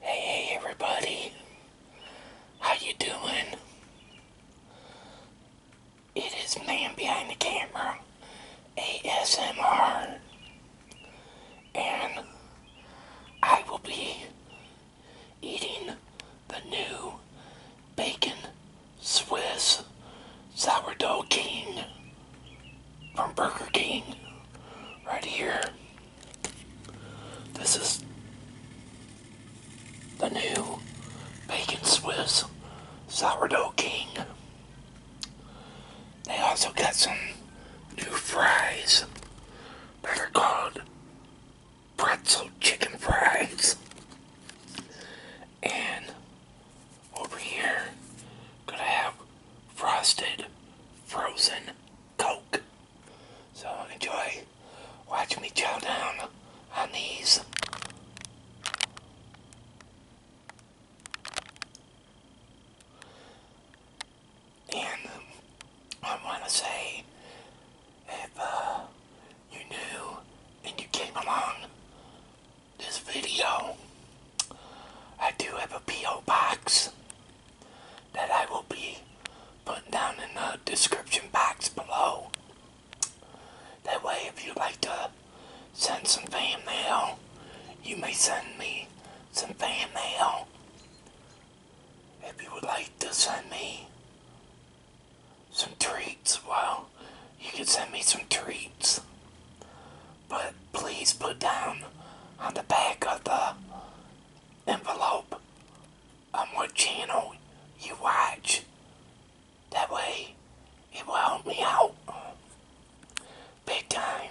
Hey, hey, everybody. How you doing? It is Man Behind the Camera, ASMR. And I will be eating the new Bacon Swiss Sourdough King from Burger King right here. This is the new Bacon Swiss Sourdough King. They also got some new fries that are called pretzel chicken fries and over here gonna have frosted frozen coke. So enjoy. Watch me chow down on these. And I want to say, if uh, you knew and you came along this video, I do have a P.O. box that I will be putting down in the description box below. That way, if you'd like to send some fan mail, you may send me some fan mail. If you would like to send me some treats, well, you can send me some treats but please put down on the back of the envelope on what channel you watch. That way, it will help me out big time.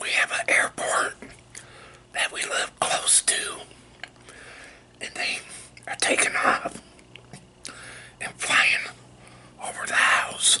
We have an airport that we live close to, and they are taking off and flying over the house.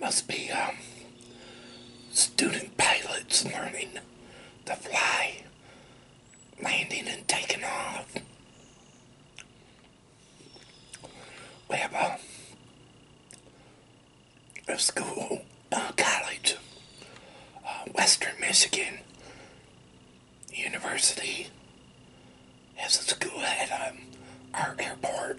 Must be um, student pilots learning to fly, landing and taking off. We have a, school, uh, college, Western Michigan University has a school at um, our airport.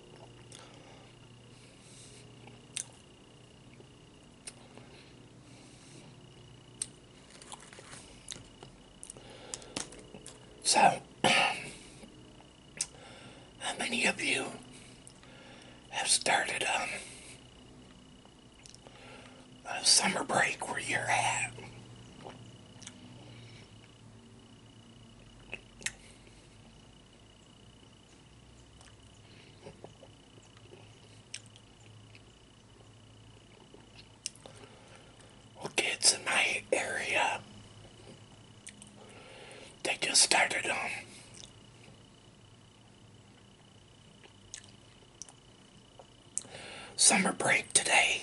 So, how many of you have started um, a summer break where you're at? Well, kids in my area, they just started um, summer break today.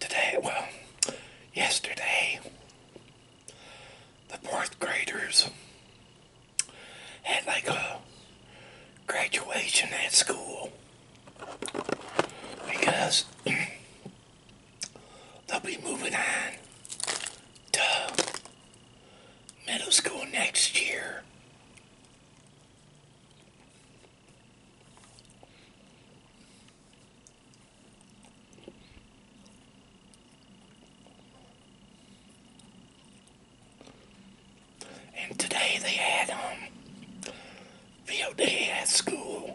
today, well, yesterday, the fourth graders had like a graduation at school because they'll be moving on to middle school next year. And today they had um, field day at school.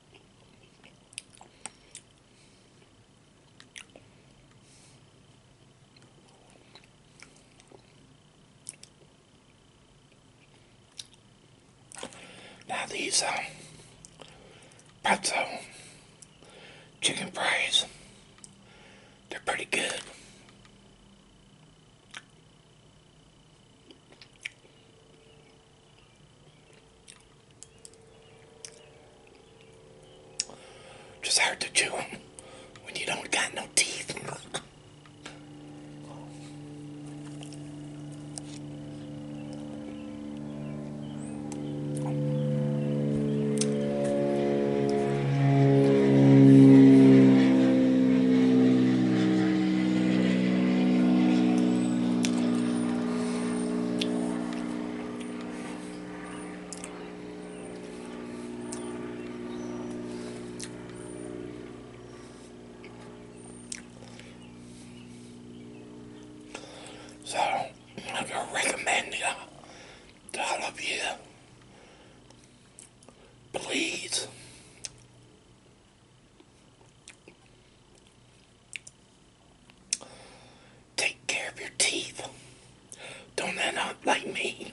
Now these um, pretzel chicken fries, they're pretty good. Just hard to chew when you don't got no teeth. So, I can recommend you to all of you, please Take care of your teeth. Don't end up like me.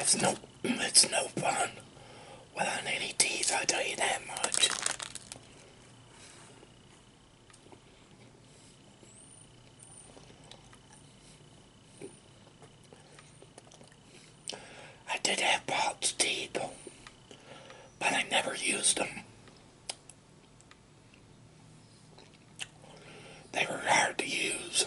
It's no, it's no fun without any teeth, I tell you that much. I did have Bob's teeth, but I never used them. They were hard to use.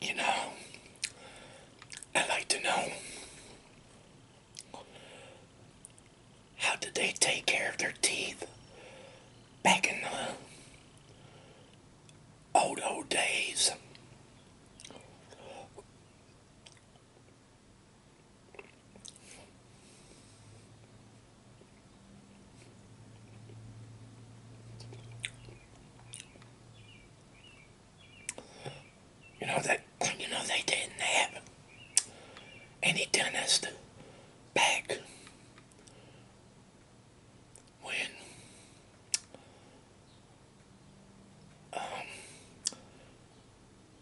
You know, I would like to know how did they take care of their teeth back in the old, old days. You know that you know they didn't have any dentist back when um,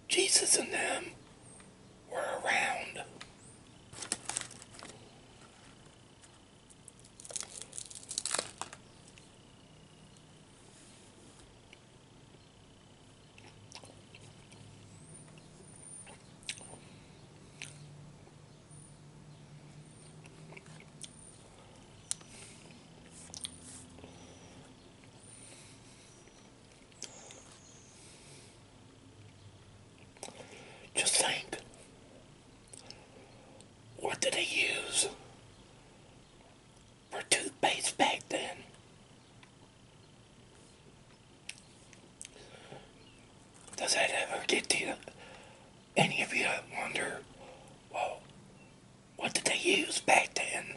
Jesus and them were around. Just think. What did they use for toothpaste back then? Does that ever get to you? Any of you wonder, well, what did they use back then?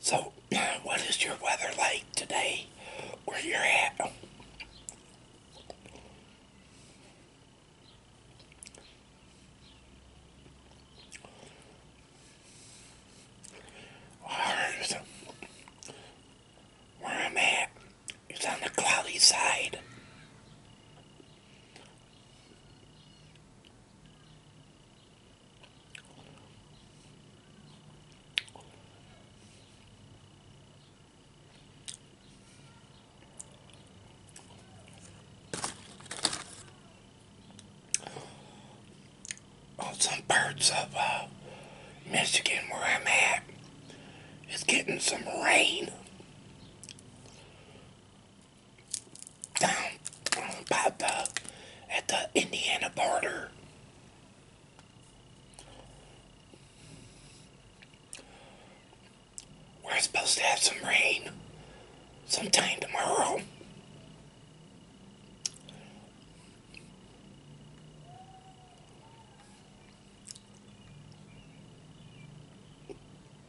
So, what is your weather like today where you're at? Where I'm at, it's on the cloudy side. On some parts of uh, Michigan where I'm at, it's getting some rain down by the at the Indiana border. We're supposed to have some rain sometime tomorrow.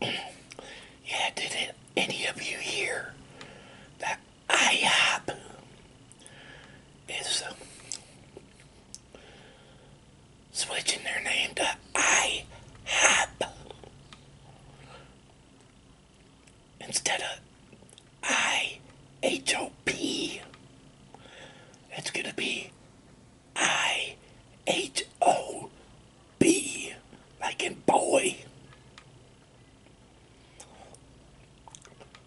Yeah, did it, any of you hear that IHOP is switching their name to IHOP instead of IHOP. It's going to be IHOB, like in boy.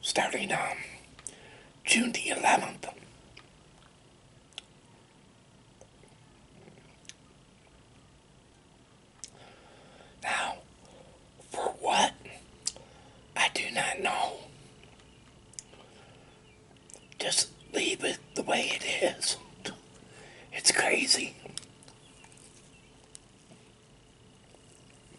Starting now. Um, June the 11th. Now, for what? I do not know. Just leave it the way it is. It's crazy.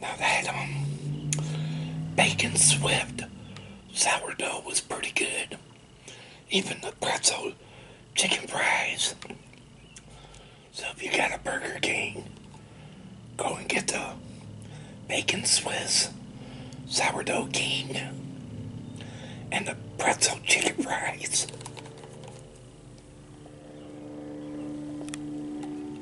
Now that um, bacon swift sourdough was pretty good. Even the pretzel chicken fries. So if you got a Burger King, go and get the bacon Swiss sourdough king and the pretzel chicken fries.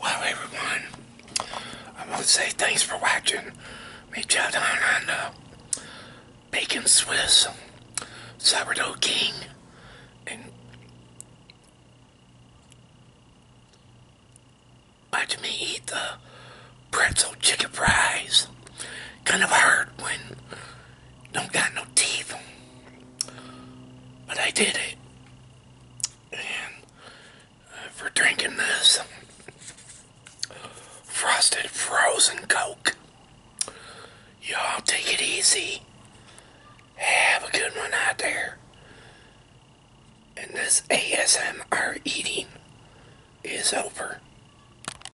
Well, everyone, I want to say thanks for watching me chow down on the uh, Bacon Swiss Sourdough King and watching me eat the pretzel chicken fries. Kind of hard when don't got no teeth. But I did it. And for drinking this frosted frozen Coke, y'all take it easy. Have a good one out there. And this ASMR eating is over.